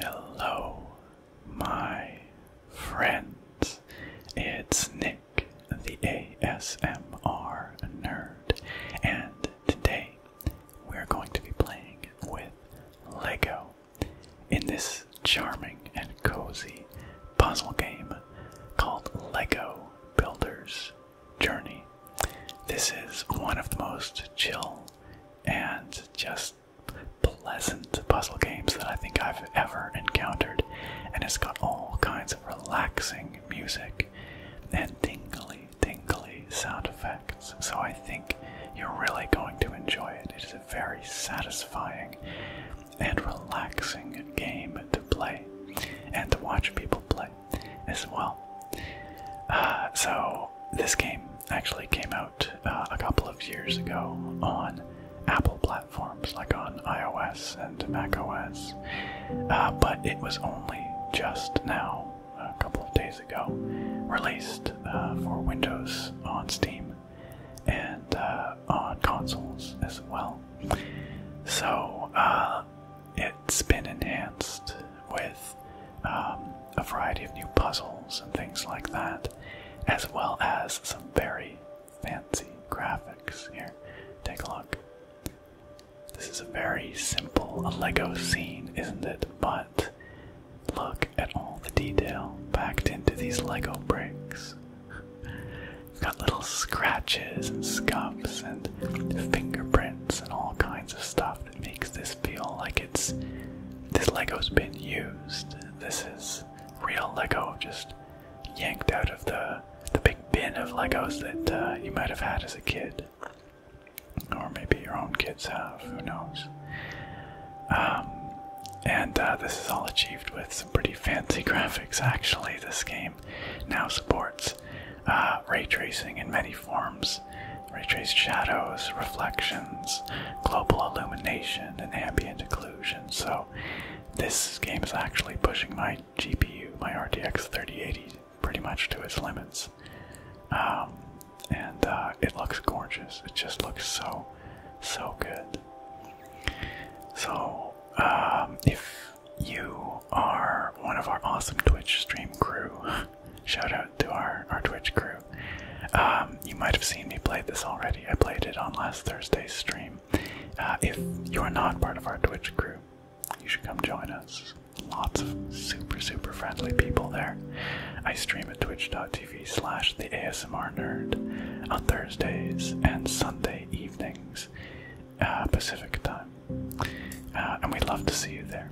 Hello, my friends. It's Nick, the ASMR nerd, and today we're going to be playing with Lego. In this charming and cozy puzzle game called Lego Builders Journey, this is one of the most chill and just pleasant puzzle games that I think I've ever encountered, and it's got all kinds of relaxing music and tingly tingly sound effects, so I think you're really going to enjoy it. It is a very satisfying and relaxing game to play and to watch people play as well. Uh, so, this game actually came out uh, a couple of years ago on Apple platforms like on iOS and macOS, uh, but it was only just now a couple of days ago, released uh, for Windows on Steam and uh, on consoles as well. So uh, it's been enhanced with um, a variety of new puzzles and things like that, as well as some very fancy graphics. Here, take a look. This is a very simple Lego scene, isn't it? But Look at all the detail packed into these Lego bricks. Got little scratches and scuffs and fingerprints and all kinds of stuff that makes this feel like it's this Lego's been used. This is real Lego just yanked out of the the big bin of Legos that uh, you might have had as a kid. Or maybe your own kids have, who knows? Um, and uh, this is all achieved with some pretty fancy graphics, actually. This game now supports uh, ray tracing in many forms ray traced shadows, reflections, global illumination, and ambient occlusion. So, this game is actually pushing my GPU, my RTX 3080 pretty much to its limits. Um, and uh, it looks gorgeous. It just looks so, so good. So, um, if you are one of our awesome Twitch stream crew, shout out to our, our Twitch crew. Um, you might have seen me play this already. I played it on last Thursday's stream. Uh, if you are not part of our Twitch crew, you should come join us. Lots of super, super friendly people there. I stream at twitch.tv slash the ASMR nerd on Thursdays and Sunday evenings, uh, Pacific time. Uh, and we'd love to see you there.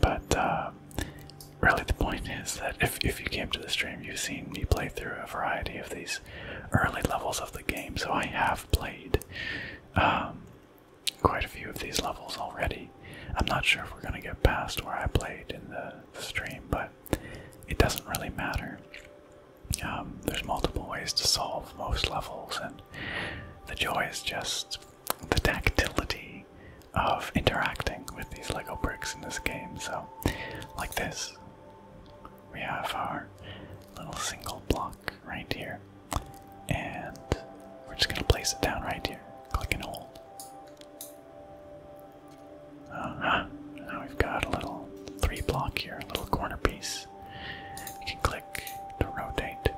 But uh, really, the point is that if, if you came to the stream, you've seen me play through a variety of these early levels of the game. So I have played um, quite a few of these levels already. I'm not sure if we're going to get past where I played in the, stream, but it doesn't really matter. Um, there's multiple ways to solve most levels, and the joy is just the tactility of interacting with these Lego bricks in this game. So, like this, we have our little single block right here, and we're just going to place it down right here. Click and hold. Uh Now we've got a little three block here, a little corner piece. You can click to rotate,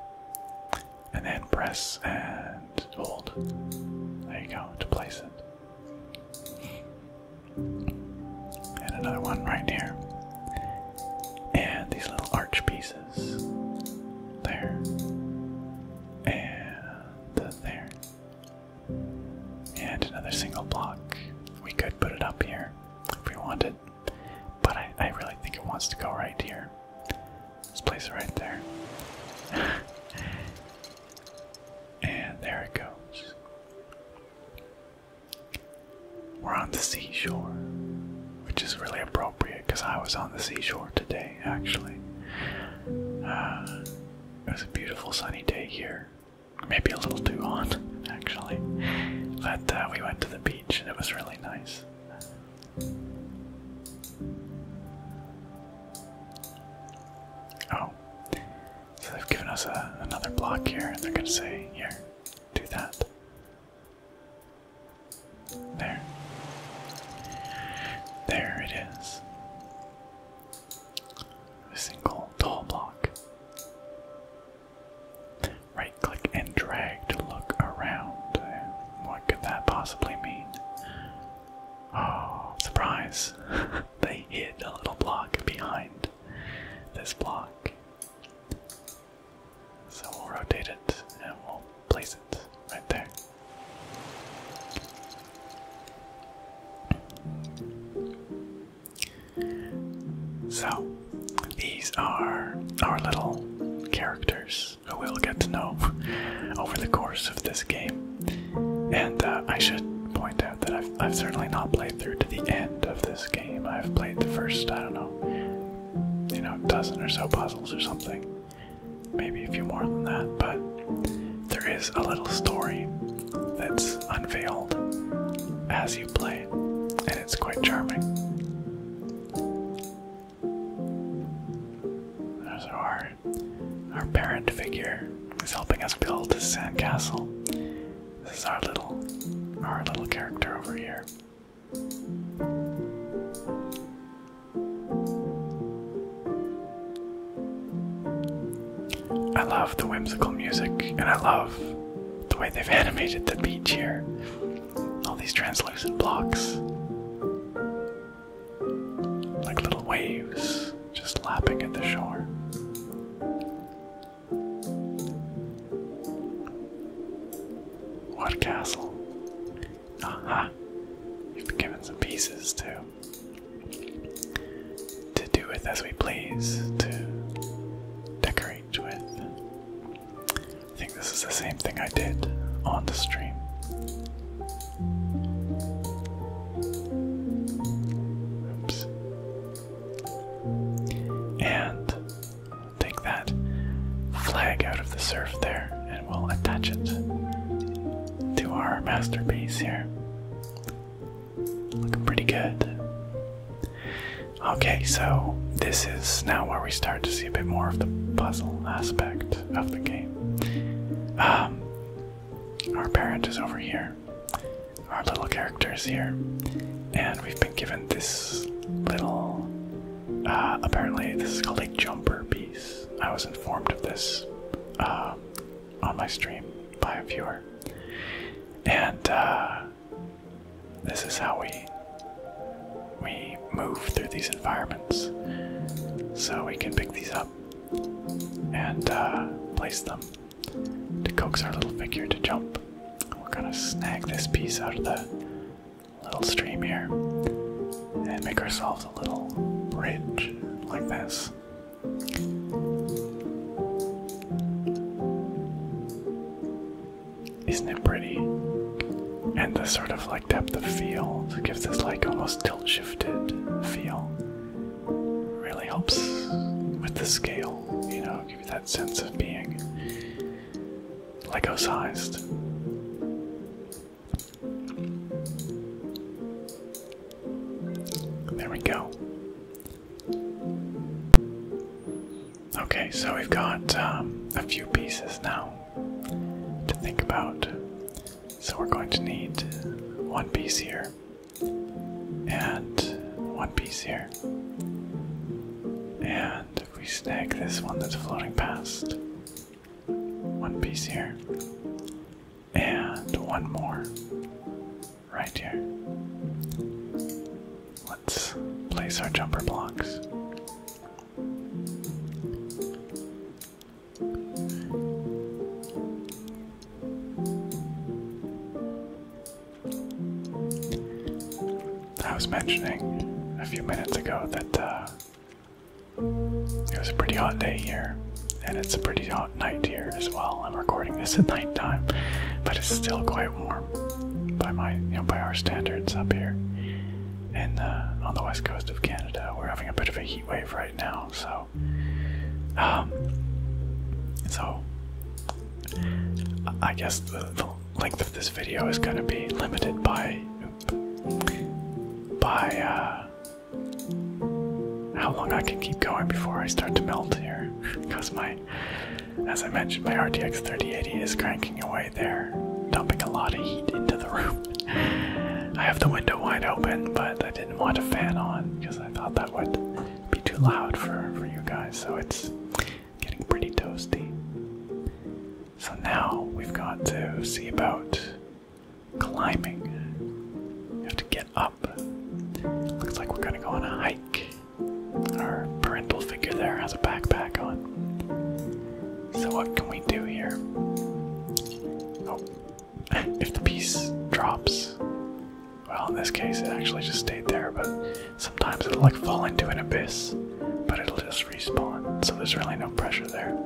and then press and hold. There you go to place it. And another one right here. And these little arch pieces there and there. And another single block. We could put it up here if we wanted, but I, I really think it wants to go right here. Let's place it right there. and there it goes. We're on the seashore, which is really appropriate because I was on the seashore today, actually. Uh, it was a beautiful sunny day here. Maybe a little too hot, actually. But uh, we went to the beach and it was really nice. Oh, so they've given us uh, another block here, and they're going to say, Here, do that. There. There it is. A single tall block. Right click and drag to look around. What could that possibly mean? Oh, surprise! they hid a little block behind this block. So we'll rotate it and we'll place it right there. So, these are our little characters who we'll get to know over the course of this game. And uh, I should point out that I've, I've certainly not played through to the end of this game. I've played the first, I don't know, you know, dozen or so puzzles or something maybe a few more than that, but there is a little story that's unveiled as you play, and it's quite charming. There's our, our parent figure is helping us build this sandcastle. This is our little our little character over here. I love the whimsical music, and I love the way they've animated the beach here. All these translucent blocks, like little waves just lapping at the shore. What a castle! Aha. Uh have been given some pieces to to do with as we please, to decorate with. I think this is the same thing I did on the stream. Oops. And take that flag out of the surf there we'll attach it to our masterpiece here. Looking pretty good. Okay, so this is now where we start to see a bit more of the puzzle aspect of the game. Um, our parent is over here, our little character is here, and we've been given this little. Uh, apparently, this is called a jumper bee. I was informed of this um, on my stream by a viewer, and uh, this is how we we move through these environments. So we can pick these up and uh, place them to coax our little figure to jump. We're gonna snag this piece out of the little stream here and make ourselves a little bridge like this. Isn't it pretty? And the sort of like depth of field gives this like almost tilt shifted feel. Really helps with the scale, you know, give you that sense of being Lego sized. There we go. Okay, so we've got um, a few pieces now to think about. So we're going to need one piece here and one piece here. And we snag this one that's floating past, one piece here. And one more. Right here. Let's place our jumper blocks. I was mentioning a few minutes ago that uh, it was a pretty hot day here, and it's a pretty hot night here as well. I'm recording this at nighttime, but it's still quite warm by my, you know, by our standards up here. And on the west coast of Canada, we're having a bit of a heat wave right now. So, um, so I guess the, the length of this video is going to be limited by by uh, how long I can keep going before I start to melt here. Because my, as I mentioned, my RTX 3080 is cranking away there, dumping a lot of heat into the room. I have the window wide open, but I didn't want a fan on because I thought that would be too loud for, for you guys, so it's getting pretty toasty. So now we've got to see about climbing. You have to get up. Looks like we're gonna go on a hike. Our parental figure there has a backpack on. So, what can we do here? Oh, if the piece drops, well, in this case, it actually just stayed there, but sometimes it'll like fall into an abyss, but it'll just respawn, so there's really no pressure there.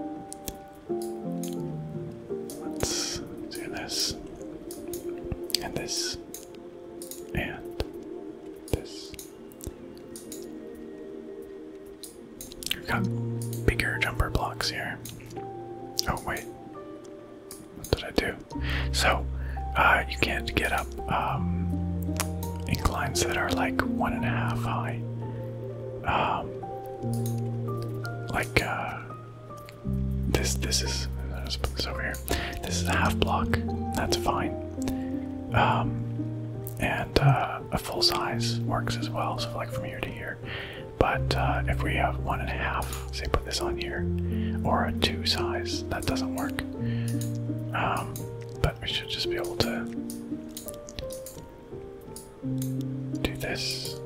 Let's do this. And this. And this. We've got bigger jumper blocks here. Oh, wait. What did I do? So, uh, you can't get up um, inclines that are like one and a half high. Um, like uh, this. This is let's put this over here. This is a half block. That's fine. Um, and uh, a full size works as well. So like from here to here. But uh, if we have one and a half, say put this on here, or a two size, that doesn't work. Um, but we should just be able to do this.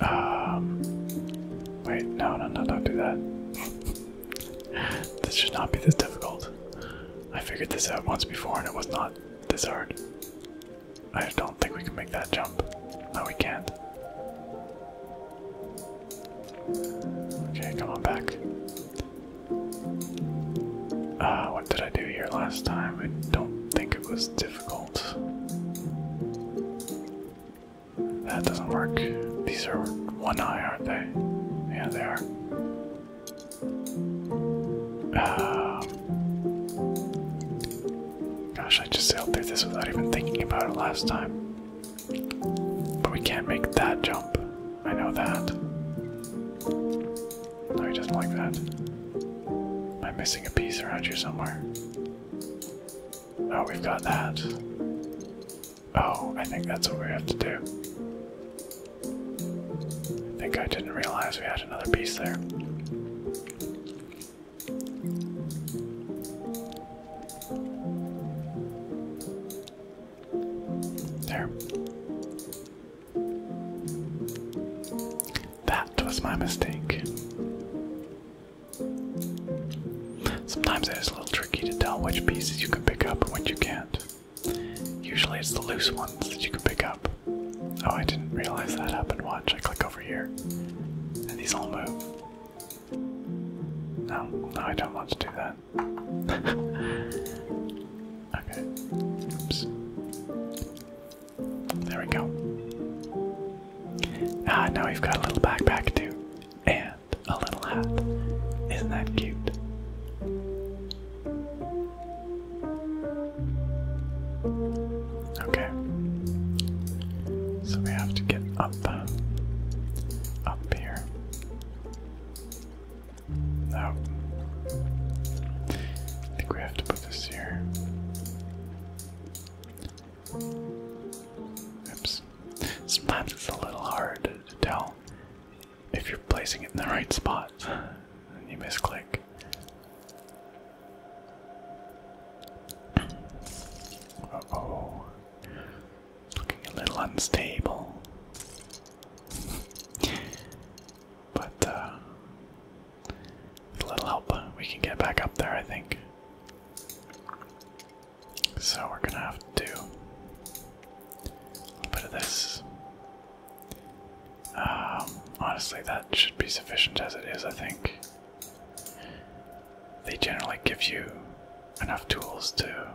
Um, wait, no, no, no, don't do that. this should not be this difficult. I figured this out once before and it was not this hard. I don't think we can make that jump. No, we can't. Okay, come on back. Uh, what did I do here last time? I don't think it was difficult. That doesn't work. These are one eye, aren't they? Yeah, they are. Um, gosh, I just sailed this without even thinking about it last time. But we can't make that jump. I know that. No, he doesn't like that. Am I missing a piece around you somewhere? Oh, we've got that. Oh, I think that's what we have to do. I think I didn't realize we had another piece there. There. That was my mistake. Sometimes it is a little tricky to tell which pieces you can pick up and which you can't. Usually it's the loose ones that you can pick up. Oh, I didn't realize that happened. Watch, I click over here, and these all move. No, no, I don't want to do that. okay. Oops. There we go. Ah, now we've got a little backpack too, and a little hat. Isn't that cute? Okay. So we have to get up, up here. No. I think we have to this here. Oops. Sometimes it's a little hard to tell if you're placing it in the right spot and you misclick. Uh oh. Looking a little unstable. but, uh, with a little help, we can get back up there, I think. So we're gonna have to do a little bit of this. Um, honestly, that should be sufficient as it is, I think. They generally give you enough tools to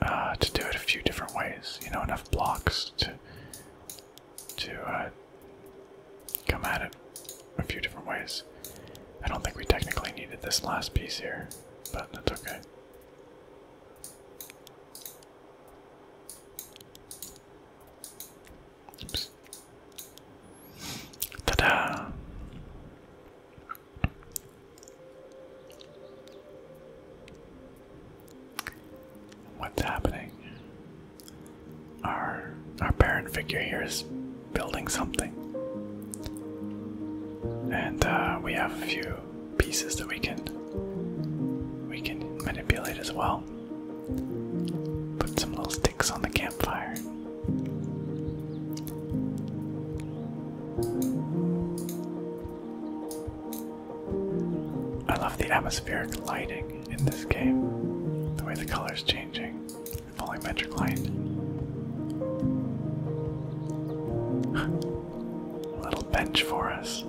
uh, to do it a few different ways. You know, enough blocks to to uh, come at it a few different ways. I don't think we technically needed this last piece here, but that's okay. Ta da! What's happening? Our our parent figure here is building something. And uh, we have a few pieces that we can we can manipulate as well. Put some little sticks on the campfire. I love the atmospheric lighting in this game, the way the color's changing, the volumetric light. A little bench for us.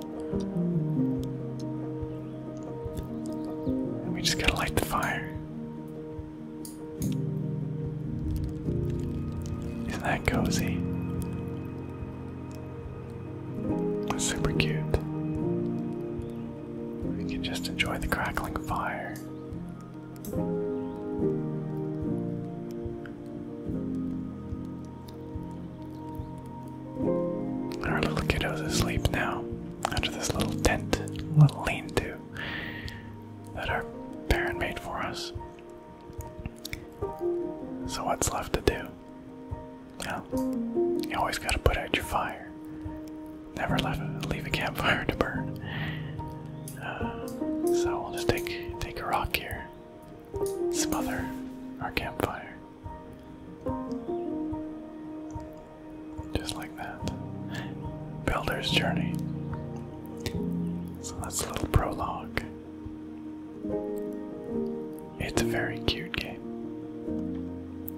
And we just gotta light the fire. Isn't that cozy? Super cute. We can just enjoy the crackling fire. Our little kiddo's asleep now under this little tent, little lean to that our parent made for us. So, what's left to do? No. You always gotta put out your fire. Never leave a, leave a campfire to burn. Uh, so we'll just take take a rock here. Smother our campfire. Just like that. Builder's journey. So that's a little prologue. It's a very cute game.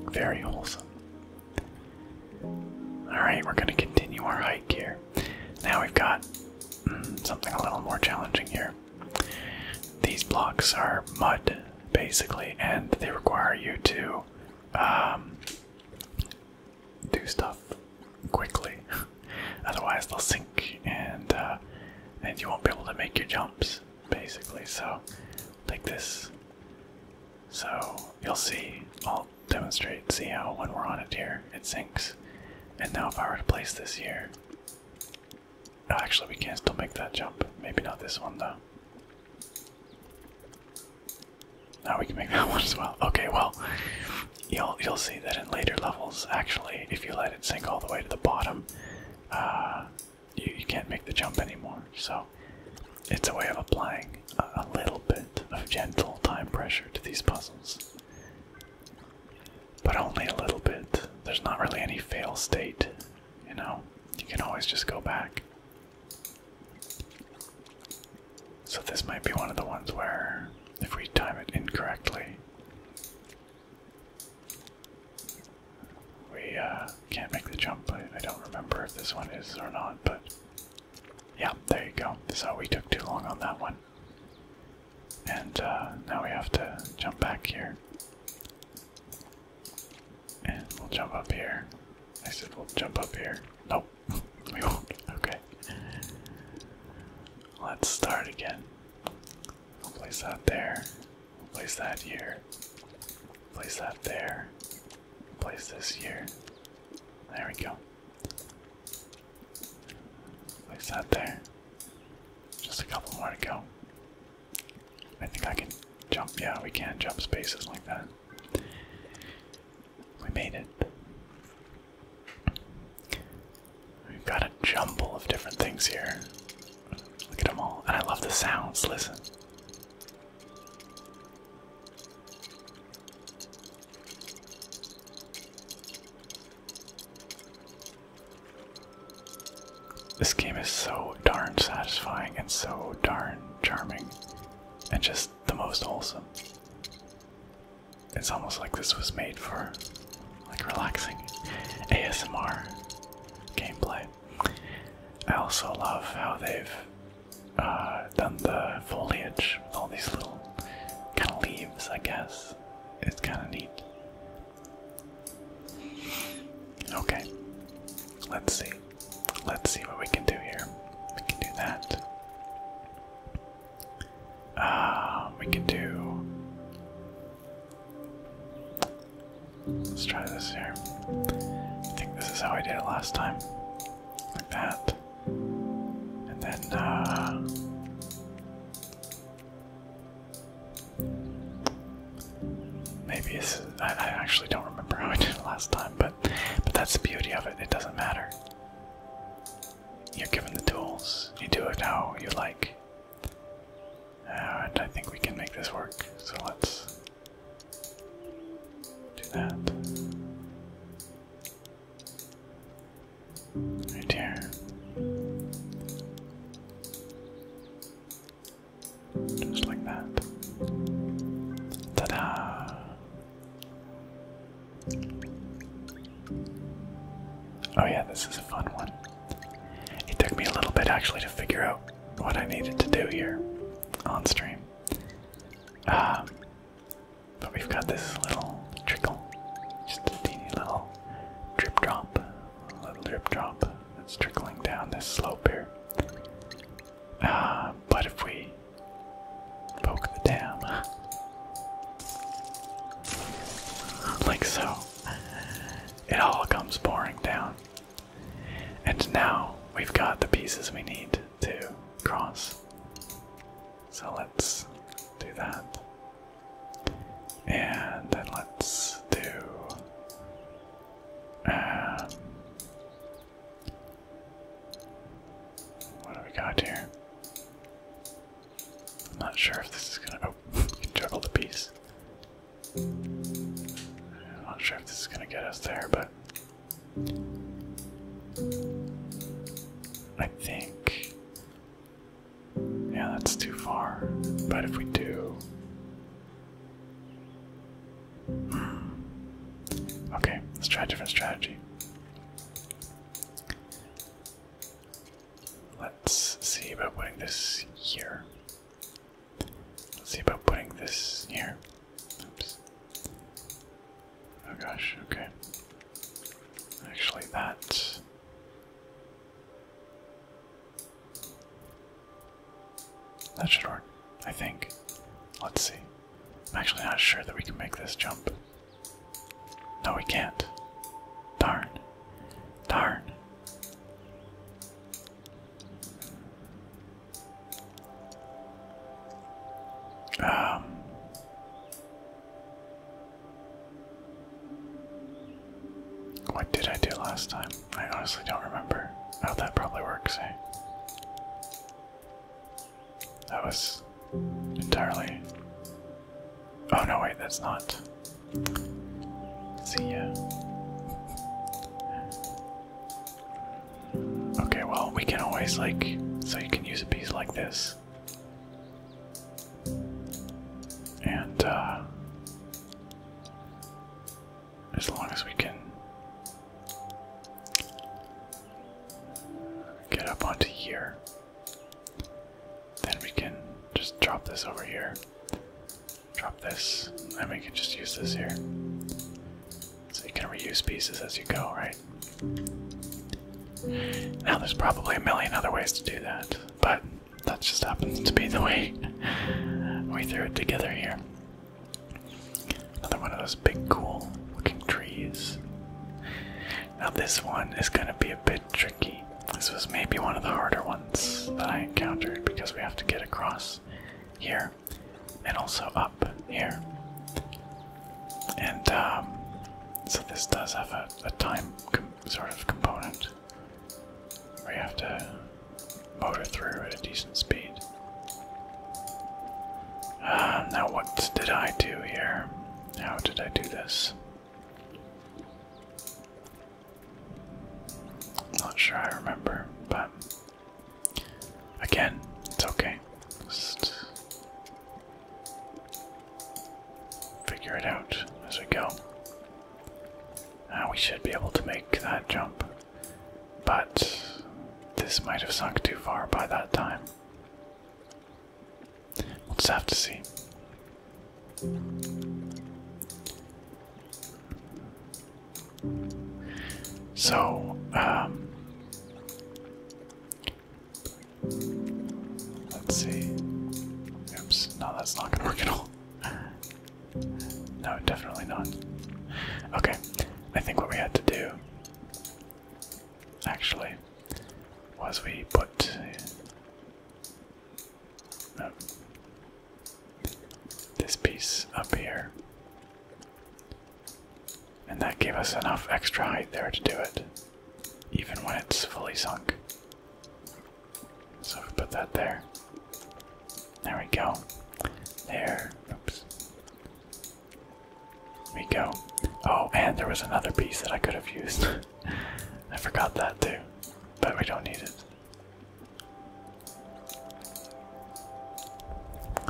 Very wholesome. Alright, we're going to continue our hike here. Now we've got mm, something a little more challenging here. These blocks are mud, basically, and they require you to um, do stuff quickly. Otherwise, they'll sink and, uh, and you won't be able to make your jumps basically. So, like this. So, you'll see, I'll demonstrate, see how when we're on it here, it sinks. And now if I were to place this here, oh, actually we can still make that jump. Maybe not this one though. Now we can make that one as well. Okay, well, you'll you'll see that in later levels, actually, if you let it sink all the way to the bottom, uh, you, can't make the jump anymore. So it's a way of applying a little bit of gentle time pressure to these puzzles. But only a little bit. There's not really any fail state, you know? You can always just go back. So, this might be one of the ones where if we time it incorrectly, we uh, can't make the jump. I, don't remember if this one is or not, but yeah, there you go. So we took too long on that one. And uh, now we have to jump back here. And we'll jump up here. I said we'll jump up here. Nope, we won't. Okay. Let's start again. We'll place that there. Place that here. Place that there. Place this here. There we go. Place that there. Just a couple more to go. I think I can jump. Yeah, we can jump spaces like that. We made it. We've got a jumble of different things here. Look at them all. And I love the sounds. Listen. This game is so darn satisfying and so darn charming and just the most wholesome. It's almost like this was made for like relaxing ASMR gameplay. I also love how they've uh, done the foliage with all these little kind of leaves, I guess. It's kind of neat. Okay, let's see. Let's see what we can do here. We can do that. Uh, we can do. Let's try this here. I think this is how I did it last time. Like that. And then, uh, Maybe it's. I, I actually don't remember how I did it last time, but, but that's the beauty of it. It doesn't matter. You're given the tools, you do it how you like. Uh, I think we can make this work, so let's do that. Right here. Just like that. Ta da! Oh, yeah, this is a fun one. It took me a little bit actually to figure out what I needed to do here on stream. Um, but we've got this little trickle, just a teeny little drip drop, little drip drop that's trickling down this slope here. Uh, but if we poke the dam, like so, it all comes pouring down. And now we've got the pieces we need to cross. So let's do that. And then let's do. Um, what do we got here? I'm not sure if this is gonna. Oh, juggle the piece. I'm not sure if this is going to get us there, but I think. Yeah, that's too far. But if we do. Hmm. Okay, let's try a different strategy. Let's see about putting this here. Let's see about putting this here. Oops. Oh gosh, okay. Actually, that. That should work, I think. Let's see. I'm actually not sure that we can make this jump. No, we can't. Darn. Darn. Um, what did I do last time? I honestly don't remember. Oh, that probably works, eh? That was entirely. Oh, no, wait, that's not. See ya. Okay, well, we can always, like, so you can use a piece like this. And, uh, as long as we can get up onto here, then we can just drop this over here. Drop this, and we can just use this here. So you can reuse pieces as you go, right? Now there's probably a million other ways to do that, but that just happens to be the way we threw it together here. Another one of those big cool looking trees. Now this one is gonna be a bit tricky. This was maybe one of the harder ones that I encountered because we have to get across here and also up here. And um, so this does have a, time sort of component where you have to motor through at a decent speed. Um, now, what did I do here? How did I do this? Not sure I remember, but again, it's okay. figure it out as we go. Ah, we should be able to make that jump, but this might have sunk too far by that time. We'll just have to see. So, um, let's see. Oops, no, that's not gonna work at all. No, definitely not. Okay, I think what we had to do actually was we put. Uh, this piece up here. And that gave us enough extra height there to do it, even when it's fully sunk. So we put that there. There we go. There. Oops. we go. Oh, and there was another piece that I could have used. I forgot that too, but we don't need it.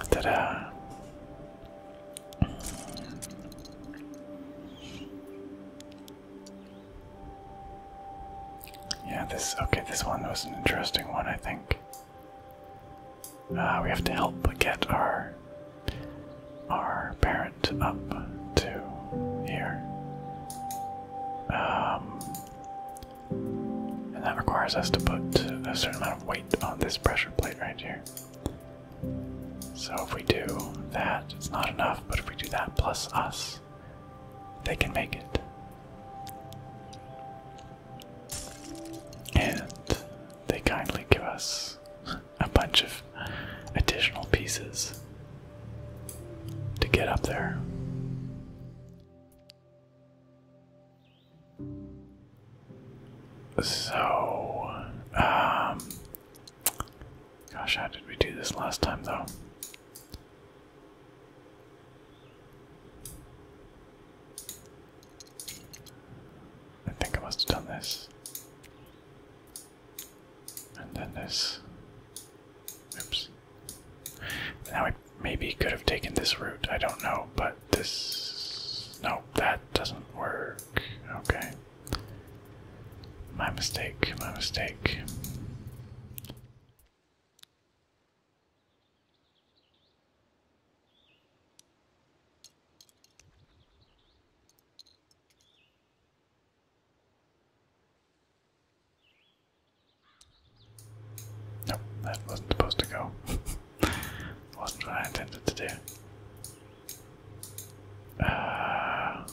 Ta-da! Yeah, this okay. This one was an interesting one, I think. Uh, we have to help get our our parent up to here. Um, and that requires us to put a certain amount of weight on this pressure plate right here. So if we do that, it's not enough, but if we do that plus us, they can make it. And they kindly give us a bunch of additional pieces to get up there. So, um, gosh, how did we do this last time though? I think I must have done this. And then this. Oops. Now I maybe could have taken this route. I don't know, but this. No, that doesn't work. Okay. My mistake, my mistake. Nope, that wasn't supposed to go. wasn't what I intended to do. Uh,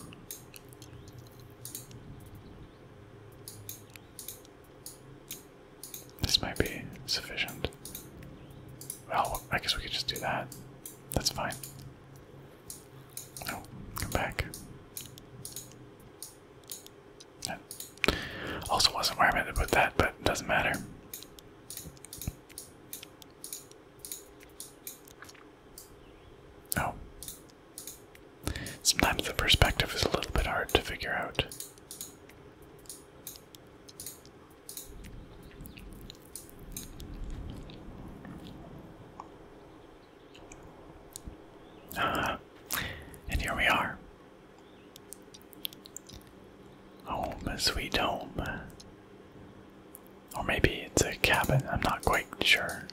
this might be sufficient. Well, I guess we could just do that. That's fine. No, oh, come back. Also wasn't where I meant to put that, but it doesn't matter. Oh. Sometimes the perspective is a little bit hard to figure out. Uh, and here we are. Home, sweet home. Or maybe it's a cabin, I'm not quite sure.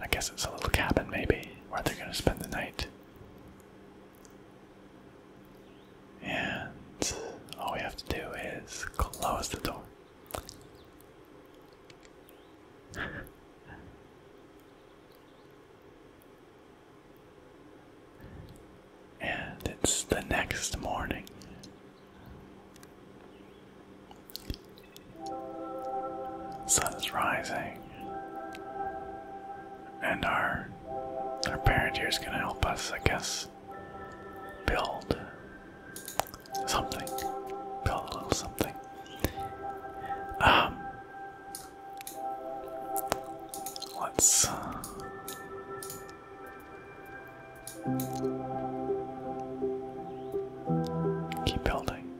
I guess it's a little cabin, maybe, where they're gonna spend the night. And all we have to do is close the door. And it's the next morning. Sun's rising. And our our parent here is gonna help us, I guess, build something. Build a little something. Um Let's. Keep building.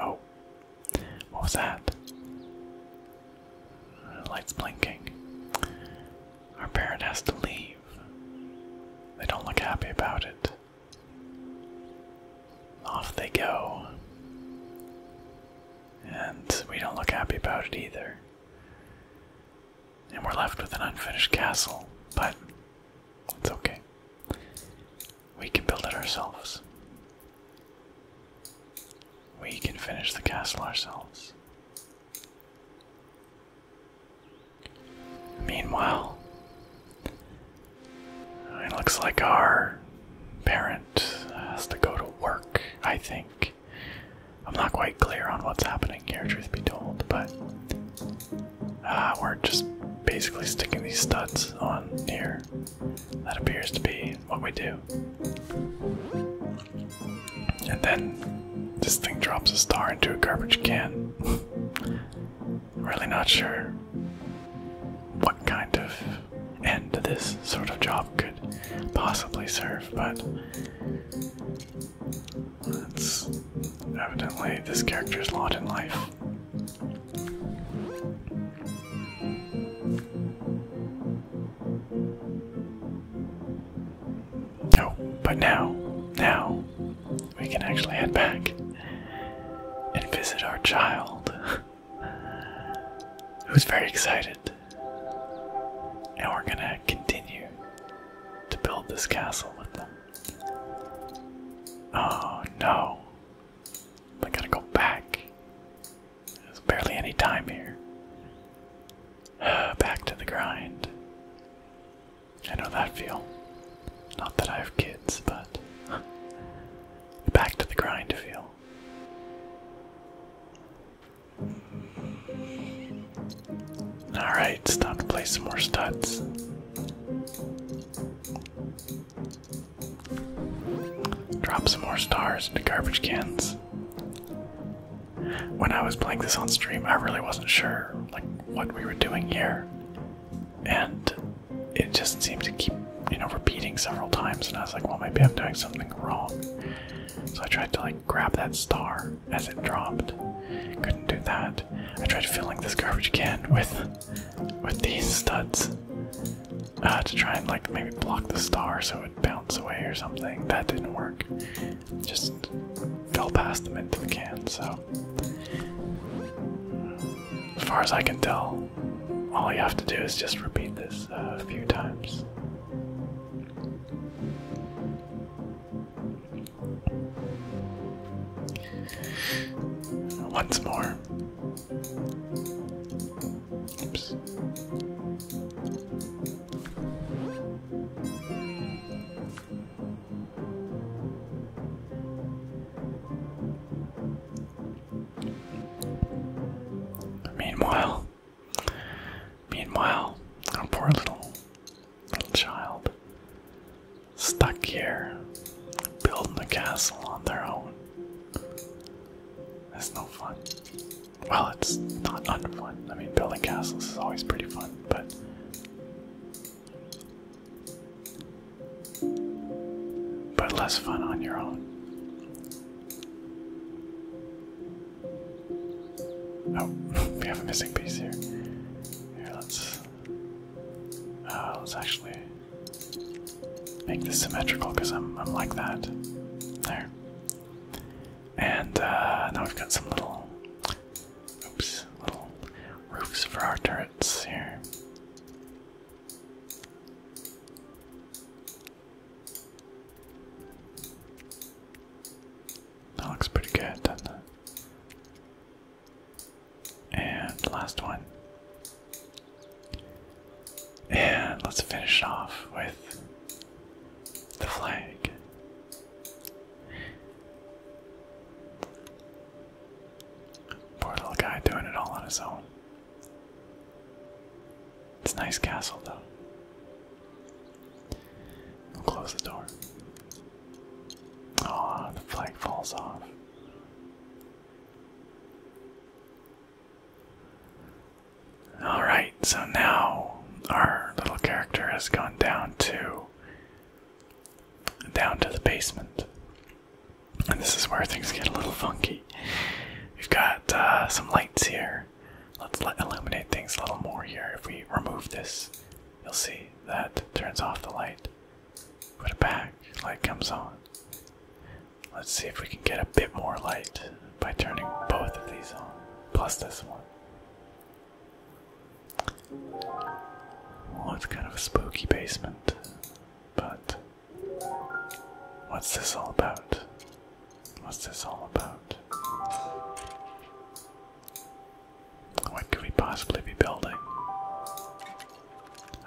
Oh, what was that? Lights blinking. Our parent has to leave. They don't look happy about it. Off they go. And we don't look happy about it either. And we're left with an unfinished castle, but it's okay. We can build it ourselves. We can finish the castle ourselves. Meanwhile, it looks like our parent has to go to work, I think. I'm not quite clear on what's happening here, truth be told, but uh, we're just basically sticking these studs on here. That appears to be what we do. And then this thing drops a star into a garbage can. really not sure what kind of end this sort of job could possibly serve, but evidently this character's lot in life. Oh, but now, now, we can actually head back and visit our child. who's very excited. And we're gonna continue to build this castle with them. Oh no. I gotta go back. There's barely any time here. back to the grind. I know that feel. Not that I have kids, but back to the grind feel. Alright, stop to play some more studs. Drop some more stars into garbage cans. When I was playing this on stream, I really wasn't sure like what we were doing here. And it just seemed to keep, you know, repeating several times, and I was like, well, maybe I'm doing something wrong. So I tried to like grab that star as it dropped. Couldn't do that. I tried filling this garbage can with with these studs uh, to try and like maybe block the star so it would bounce away or something. That didn't work. Just fell past them into the can. So as far as I can tell, all you have to do is just repeat this a few times. Once more. Oops. Meanwhile, meanwhile, our poor little little child, stuck here, building a castle on their own. It's no fun. Well, it's not unfun. I mean, building castles is always pretty fun, but but less fun on your own. Oh, we have a missing piece here. Here, let's uh, let's actually make this symmetrical because I'm I'm like that. There. And uh, now we've got some little, oops, little roofs for our turrets here. That looks pretty good, doesn't it? And last one. And let's finish off with the flag. Poor little guy doing it all on his own. It's a nice castle, though. We'll close the door. Aw, the flag falls off. Alright, so now our little character has gone down to down to the basement. And this is where things get a little funky. We've got uh, some lights here. Let's illuminate things a little more here. If we remove this, you'll see that turns off the light. Put it back, light comes on. Let's see if we can get a bit more light by turning both of these on, plus this one. Well, it's kind of a spooky basement, but What's this all about? What's this all about? What could we possibly be building?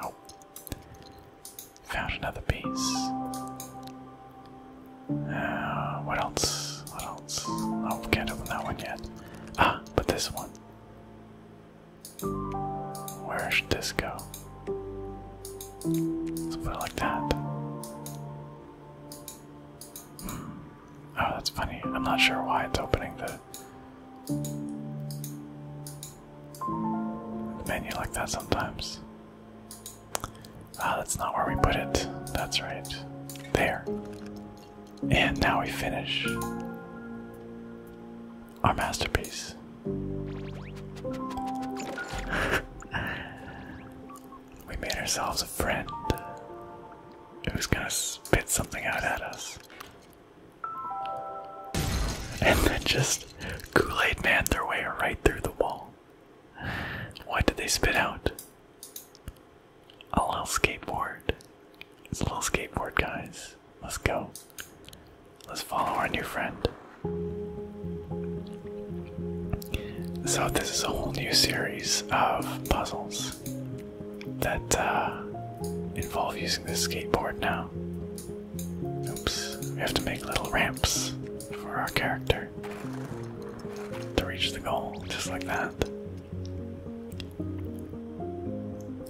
Oh. Found another piece. Uh, what else? What else? Oh, can't open that one yet. Ah, but this one. Where should this go? Let's put it like that. Hmm. Oh, that's funny. I'm not sure why it's opening the, the menu like that sometimes. Ah, that's not where we put it. That's right. There. And now we finish our masterpiece. we made ourselves a friend who was gonna spit something out at us. And then just Kool Aid Man their way right through the wall. What did they spit out? A little skateboard. It's a little skateboard, guys. Let's go. Let's follow our new friend. So, this is a whole new series of puzzles that uh, involve using this skateboard now. Oops, we have to make little ramps for our character to reach the goal, just like that.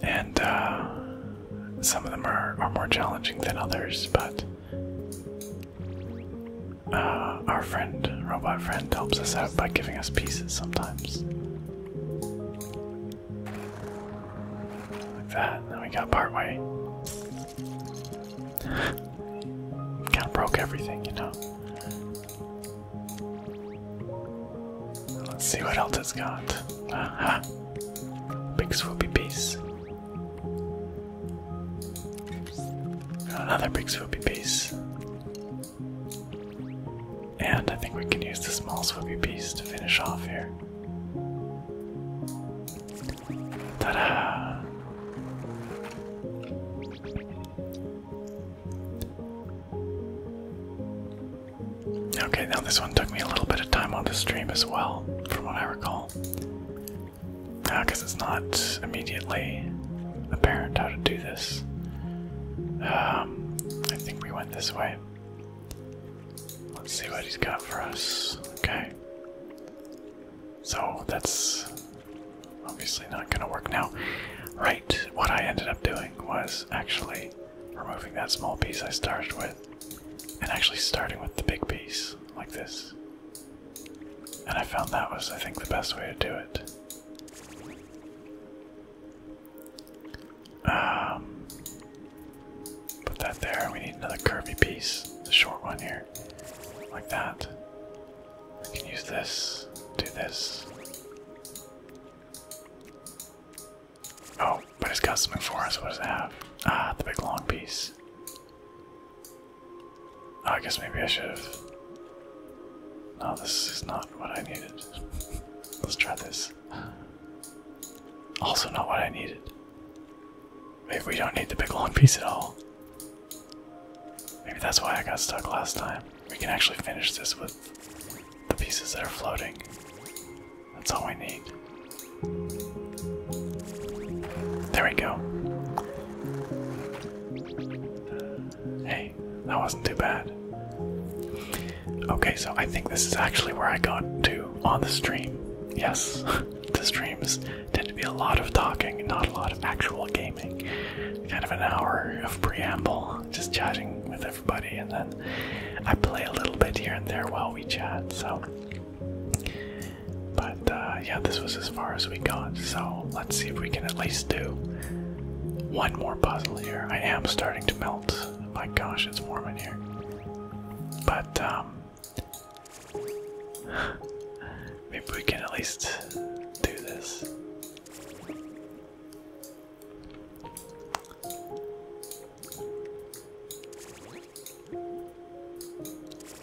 And uh, some of them are, are more challenging than others, but uh, our friend, robot friend, helps us out by giving us pieces sometimes. Like that, then we got part way. kind of broke everything, you know. Let's see what else it's got. Big swoopy piece. Another big swoopy piece. And I think we can use the small swoopy piece to finish off here. Ta da! Okay, now this one took me a little bit of time on the stream as well from what I recall. Because it's not immediately apparent how to do this. Um, I think we went this way. Let's see what he's got for us. Okay. So that's obviously not going to work now. Right, what I ended up doing was actually removing that small piece I started with and actually starting with the big piece like this. And I found that was, I think, the best way to do it. Um, put that there. We need another curvy piece, the short one here, like that. I can use this, do this. Oh, but it's got something for us. What does it have? Ah, the big long piece. Oh, I guess maybe I should have. No, this is not what I needed. Let's try this. Also, not what I needed. Maybe we don't need the big long piece at all. Maybe that's why I got stuck last time. We can actually finish this with the pieces that are floating. That's all we need. There we go. Hey, that wasn't too bad. Okay, so I think this is actually where I got to on the stream. Yes, the streams tend to be a lot of talking, not a lot of actual gaming. Kind of an hour of preamble, just chatting with everybody, and then I play a little bit here and there while we chat, so but uh, yeah, this was as far as we got, so let's see if we can at least do one more puzzle here. I am starting to melt. My gosh, it's warm in here. But um, maybe we can at least do this.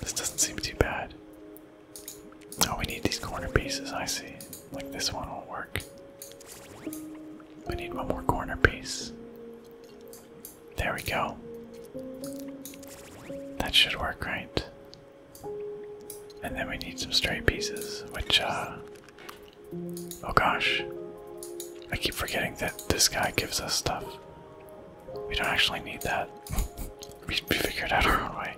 This doesn't seem too bad. Oh, we need these corner pieces, I see. Like this one will work. We need one more corner piece. There we go. That should work, right? And then we need some straight pieces, which, uh, Oh gosh. I keep forgetting that this guy gives us stuff. We don't actually need that. we, we figured out our own way.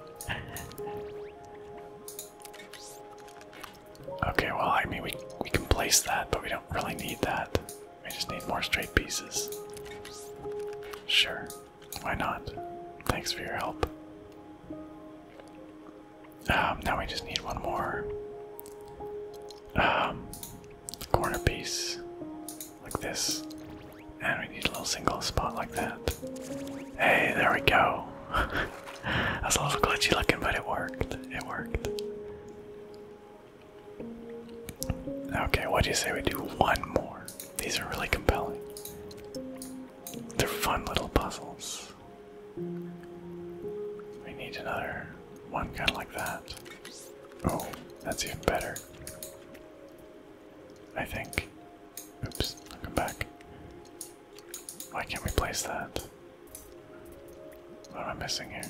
okay, well, I mean, we, we can place that, but we don't really need that. We just need more straight pieces. Sure, why not? Thanks for your help. Um, now we just need one more. Um, corner piece like this. And we need a little single spot like that. Hey, there we go. That's a little glitchy looking, but it worked. It worked. Okay, what do you say we do one more? These are really compelling. They're fun little puzzles. We need another one kind of like that. Oh, that's even better. I think. Oops, i come back. Why can't we place that? What am I missing here?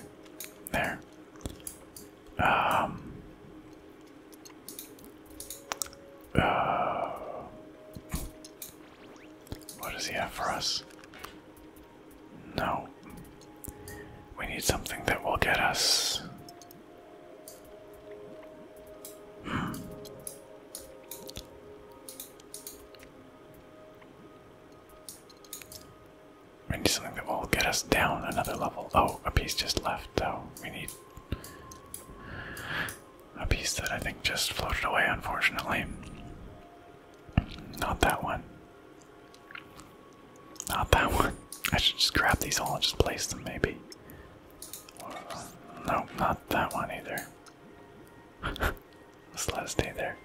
There. Um. Uh, what does he have for us? No. We need something that will get us. Hmm. We need something that will get us down another level. Oh, a piece just left, though. We need a piece that I think just floated away, unfortunately. Not that one. Not that one. I should just grab these all and just place them, maybe. no, not that one either. just let it stay there.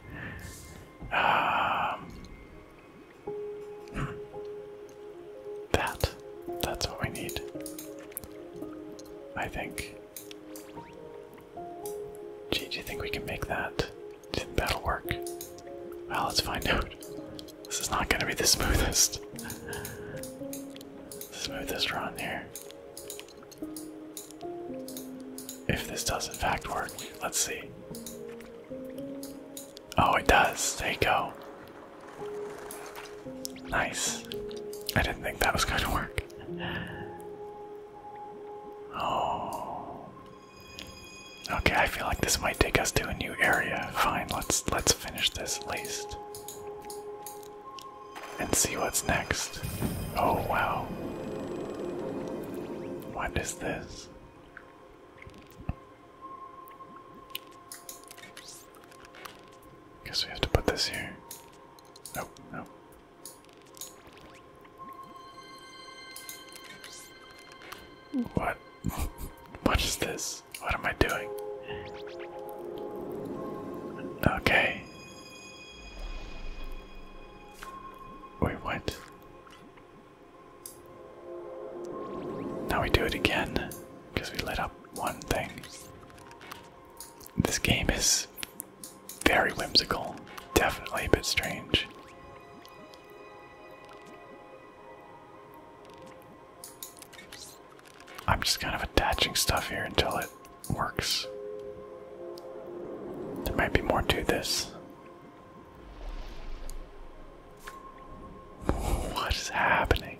Um, hmm. that. That's what we need. I think. Gee, do you think we can make that? Didn't that'll work? Well, let's find out. This is not gonna be the smoothest. smoothest run here. If this does in fact work, let's see. Oh, it does. There you go. Nice. I didn't think that was going to work. Oh, Okay, I feel like this might take us to a new area. Fine, let's let's finish this at least. And see what's next. Oh wow. What is this? Guess we have to put this here. Nope, nope. What? what is this? What am I doing? Okay. Wait, what? Now we do it again because we lit up one thing. This game is very whimsical, definitely a bit strange. I'm just kind of attaching stuff here until it works. There might be more to this. What is happening?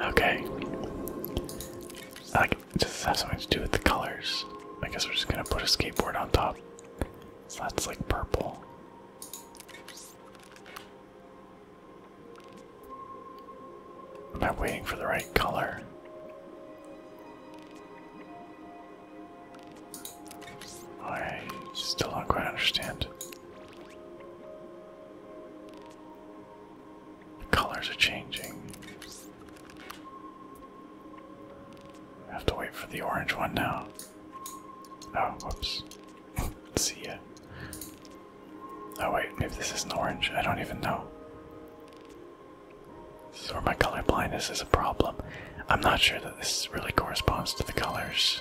Okay. Like, does this have something to do with the colors? I guess we're just gonna put a skateboard on top. So that's like purple. I'm not waiting for the right color. I oh, still don't quite understand. colors are changing. I have to wait for the orange one now. Oh, whoops. See ya. Oh wait, maybe this isn't orange. I don't even know. This is where my color blindness is a problem. I'm not sure that this really corresponds to the colors.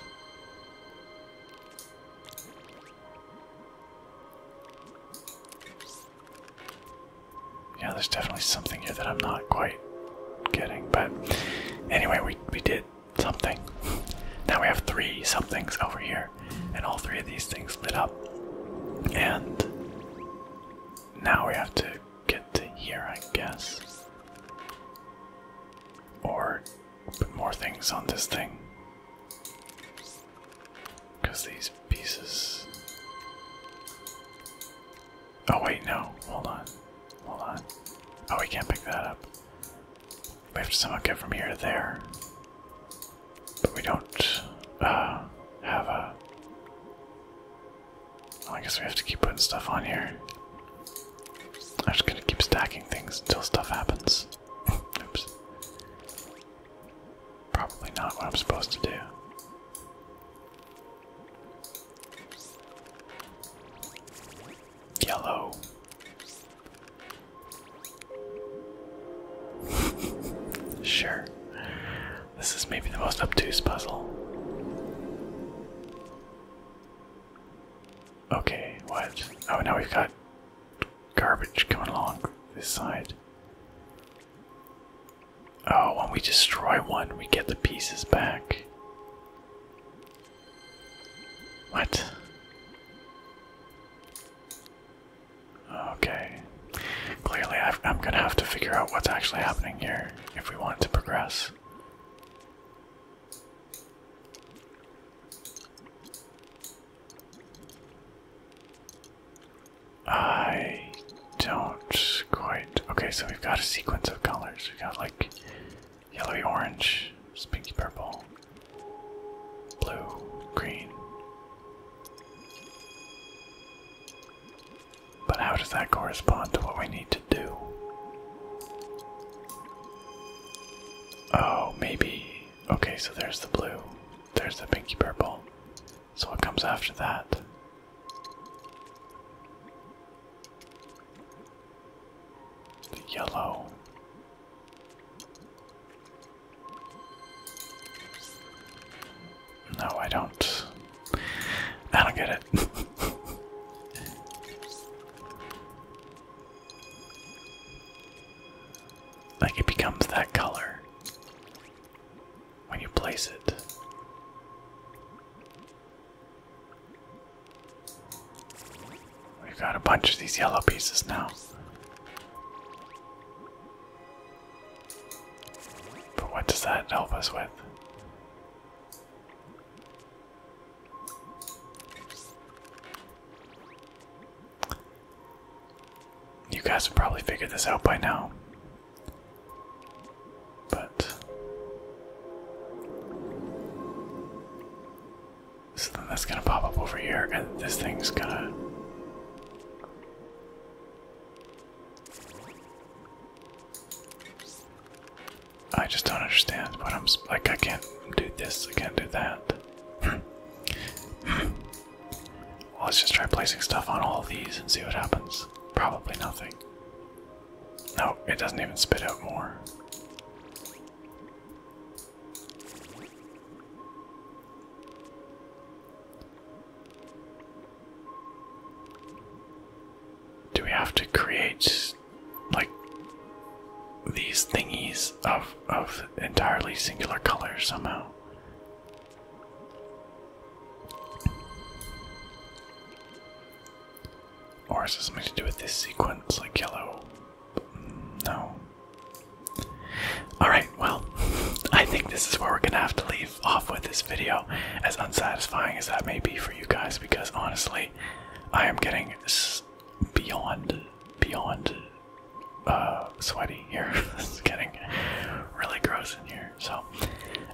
Yeah, there's definitely something here that I'm not quite kidding. But anyway, we, we did something. now we have three somethings over here, and all three of these things lit up. And now we have to get to here, I guess. Or put more things on this thing. Because these pieces. Oh wait, no. Hold on. Hold on. Oh, we can't pick that up. We have to somehow get from here to there. But we don't uh, have a. I guess we have to keep putting stuff on here. I'm just gonna keep stacking things until stuff happens. Oops. Probably not what I'm supposed to do. Yellow. sure. This is maybe the most obtuse puzzle. Okay, what? Oh, now we've got garbage coming along this side. Oh, when we destroy one, we get the pieces back. What? Okay. Clearly, i am gonna have to figure out what's actually happening here if we want to progress. I don't quite. Okay, so we've got a sequence of colors. we got like Yellowy orange, it's pinky purple, blue, green. But how does that correspond to what we need to do? Oh, maybe. Okay, so there's the blue, there's the pinky purple. So what comes after that? yellow. No, I don't. I don't get it. like it becomes that color when you place it. We've got a bunch of these yellow pieces now. But what does that help us with? You guys have probably figured this out by now. But so then that's gonna pop up over here, and this thing's gonna. I just don't understand what I'm like. I can't do this. I can't do that. let's just try placing stuff on all of these and see what happens. Probably nothing. No, it doesn't even spit out more. Do we have to create like these thingies of of entirely singular colors somehow? Or is it something to do with this sequence, like yellow? No. Alright, well, I think this is where we're gonna have to leave off with this video, as unsatisfying as that may be for you guys, because honestly, I am getting beyond, beyond uh, sweaty here. it's getting really gross in here, so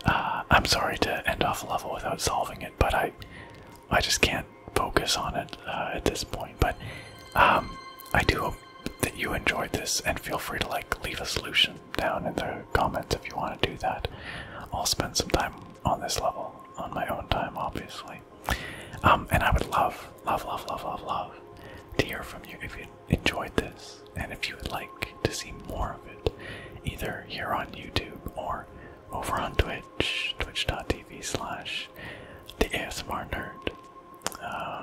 uh, I'm sorry to end off a level without solving it, but I I just can't focus on it uh, at this point. But um, I do hope that you enjoyed this, and feel free to like leave a solution down in the comments if you want to do that. I'll spend some time on this level on my own time, obviously. Um, and I would love, love, love, love, love, love to hear from you if you enjoyed this and if you would like to see more of it, either here on YouTube or over on Twitch, twitch.tv slash the ASMR nerd.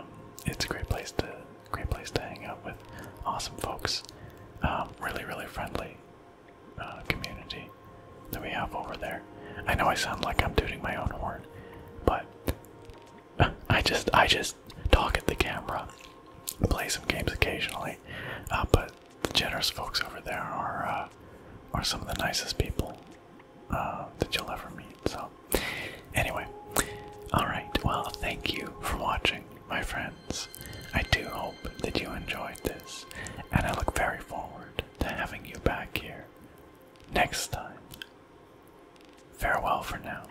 Um, it's a great place to great place to hang out with awesome folks. Um, really, really friendly uh, community that we have over there. I know I sound like I'm tooting my own horn, but I just I just talk at the camera, play some games occasionally, uh, but the generous folks over there are uh, are some of the nicest people uh, that you'll ever meet. So, anyway, all right. Well, thank you for watching, my friends. I do hope that you enjoyed this, and I look very forward to having you back here next time. Farewell for now.